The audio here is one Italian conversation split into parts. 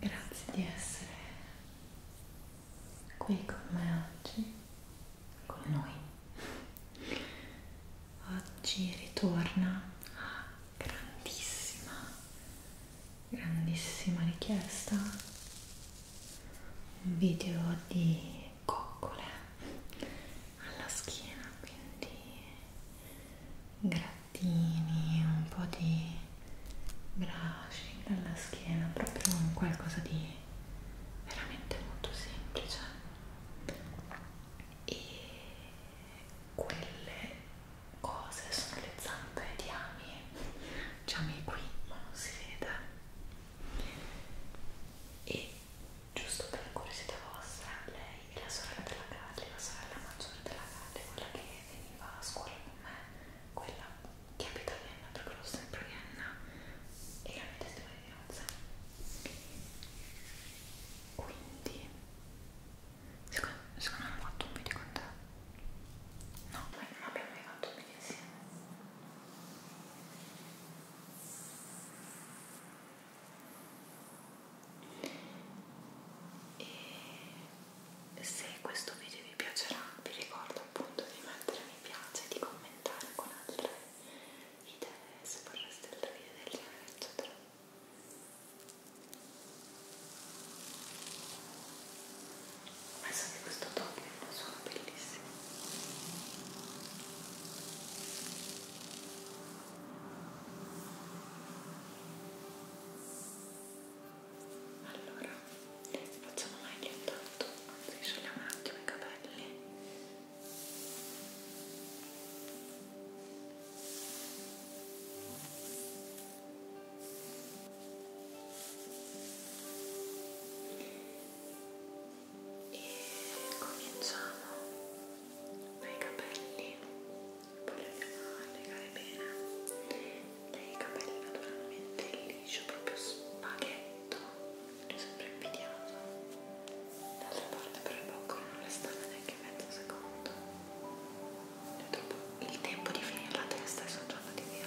Grazie di essere qui con me oggi, con noi. Oggi ritorna a grandissima, grandissima richiesta un video di coccole alla schiena, quindi grattini, un po' di brushing alla schiena, proprio un qualcosa di veramente molto semplice e quelle cose sono le zampe di Ami Ami qui ma non si vede e giusto per curiosità vostra lei e la sorella della Galli, la sorella maggiore della Galli, quella che veniva a scuola con me, quella che abita a Vienna, perché l'ho sempre a Vienna, e la mia testimonianza. Quindi, secondo, secondo me ho fatto un video con te. No, ma non abbiamo mai fatto un video insieme. E se questo video vi piacerà, vi ricordo appunto di mettere mi piace, di commentare con altre idee se vorreste altri video del genere, eccetera. Penso che questo top sono bellissimo. Allora, facciamo meglio intanto, anzi sciogliamo un attimo i capelli. E cominciamo dai capelli poi lo andiamo a legare bene i capelli naturalmente liscio proprio spaghetto è sempre invidiato d'altra parte però il boccolo non resta neanche mezzo secondo troppo... il tempo di finire la testa e sono già andati via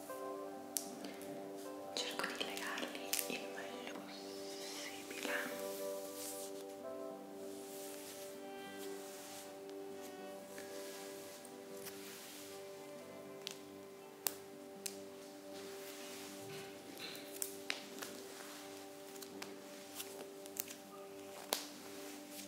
cerco di legarli il meglio possibile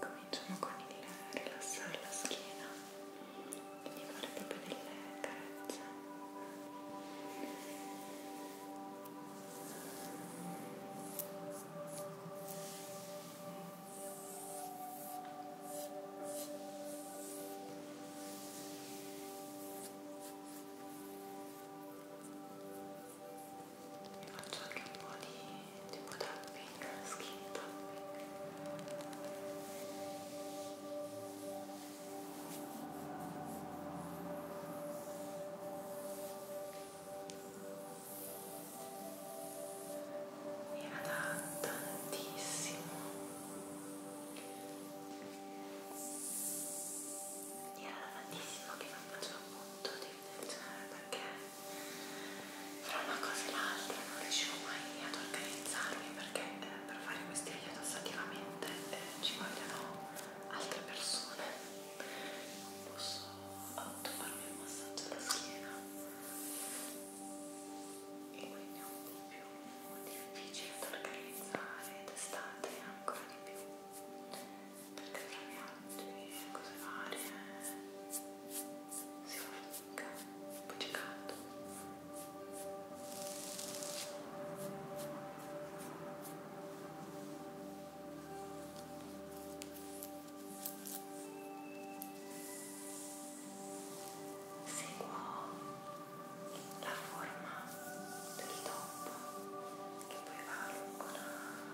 Cominciamo con il rilassare la schiena, quindi fare proprio delle carezze. Ora vi faccio anche un po' di tipo tapping, skin tapping era da tantissimo e era tantissimo che non facevo appunto di videocinare perché fra una cosa e l'altra non riuscivo mai ad organizzarmi perché eh, per fare questi video tassativamente eh, ci vogliono altre persone non posso farmi un massaggio alla schiena e quindi ho un po' più difficile da organizzare d'estate ancora di più perché tra viaggi e cose varie si fatica un po' di caldo seguo la forma del top che poi va lungo la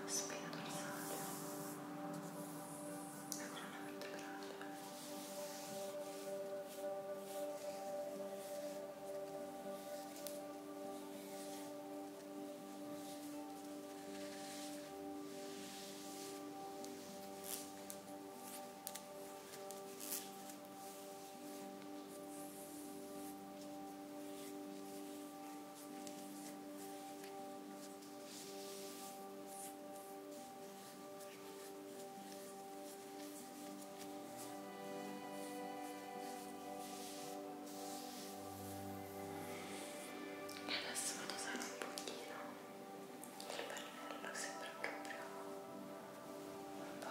spina dorsale e colonna vertebrale Ora e adesso vado a usare un pochino il pennello, sembra proprio imparando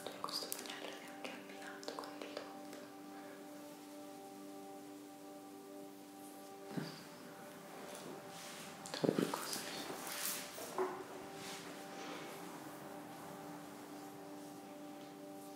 guarda questo pennello è anche abbinato con il top Trovi così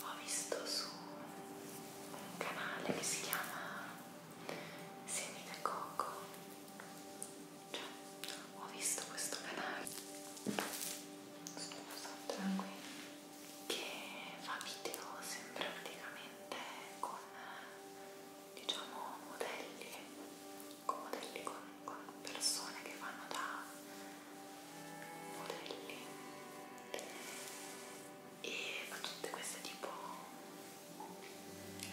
Ho visto su un canale che si chiama Semi de Coco, cioè ho visto questo canale, scusa, tranquillo che fa video sempre praticamente con diciamo modelli, con modelli con, con persone che fanno da modelli e fa tutte queste tipo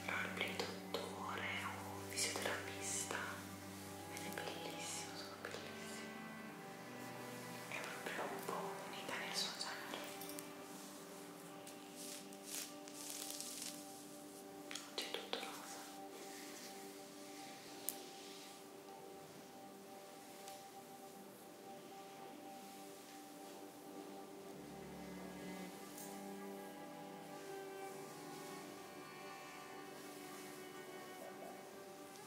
roleplay dottore o fisioterapista ed è bellissimo, sono bellissimi è proprio un po' unita nel sociale oggi è tutto rosa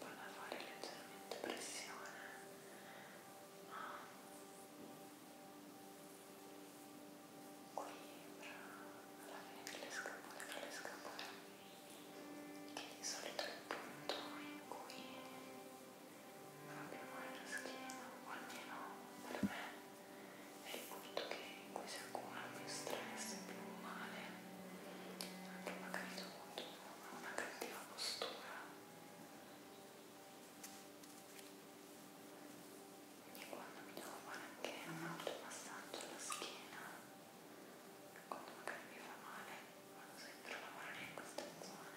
vado a fare leggermente pressione ah. qui alla fine delle scapole tra le scapole che di solito è il punto in cui non abbiamo la schiena o almeno per me è il punto che in cui si accumula più stress, più male, anche magari dovuto a una cattiva postura. E quando mi devo fare anche un automassaggio alla schiena, quando magari mi fa male, vado sempre a lavorare in questa zona.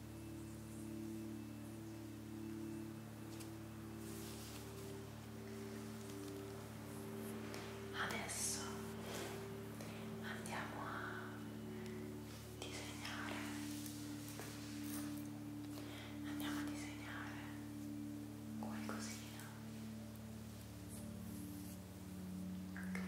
Adesso andiamo a disegnare. Andiamo a disegnare qualcosina. Ok.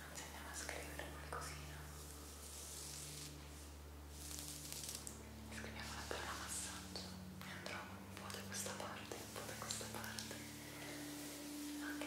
Anzi andiamo a scrivere qualcosina. Scriviamo la parola massaggio e andrò un po' da questa parte, un po' da questa parte. Ok.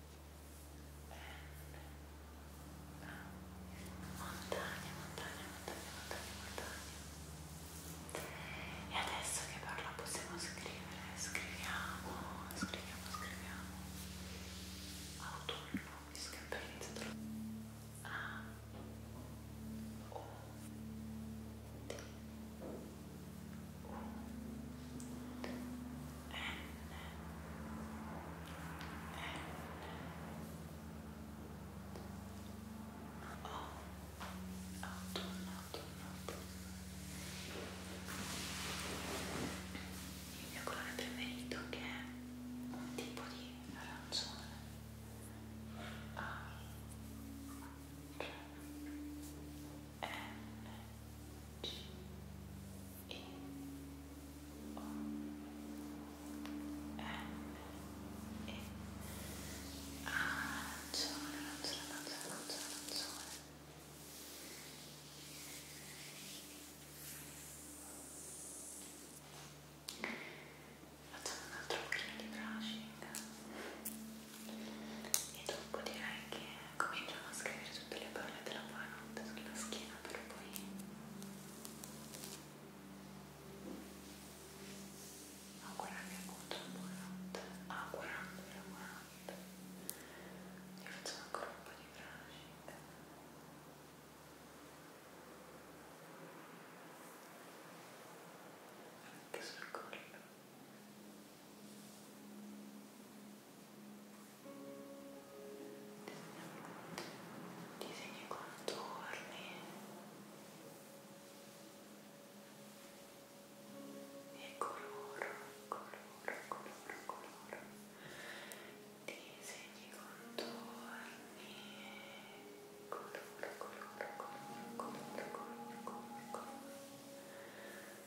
montagne, montagne, montagne, montagne, montagne. E adesso che parla possiamo scrivere, scriviamo, scriviamo, scriviamo. Autunno, mi scappellizzatelo. A. O. Il mio colore preferito che è un tipo di arancione. A, ah. tre, N G I O N E ah, arancione, arancione, arancione, arancione, Facciamo un altro pochino di brushing e dopo direi che cominciamo a scrivere tutte le parole della buonanotte sulla schiena per poi augurarvi appunto la buonanotte augurandovi la buonanotte io facciamo ancora un po' di pratica anche sul collo disegni i contorni e coloro, coloro, coloro, coloro disegni i contorni e coloro, coloro, coloro, coloro, coloro, coloro, coloro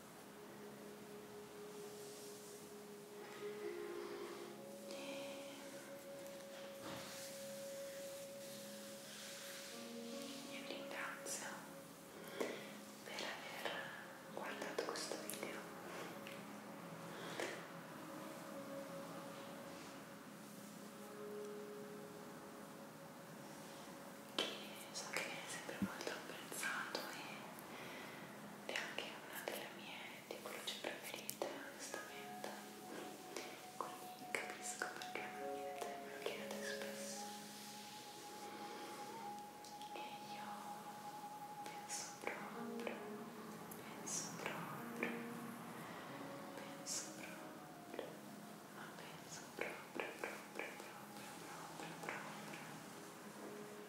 Io ringrazio per aver guardato questo video. Che so che viene sempre molto apprezzato e è anche una delle mie tipologie preferite, onestamente. Quindi capisco perché me lo chiedete, me lo chiedete spesso. E io penso proprio, penso proprio, penso proprio, ma penso proprio, proprio, proprio, proprio, proprio. proprio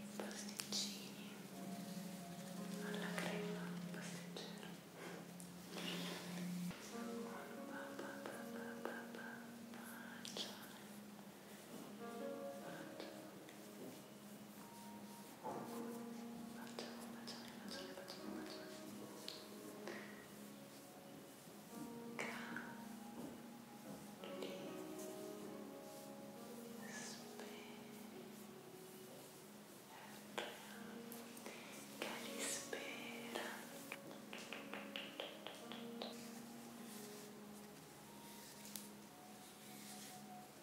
i pasticcini alla crema pasticcero bacione bacione bacione, bacione, bacione, bacione, bacione. Cali, Calispera Calispera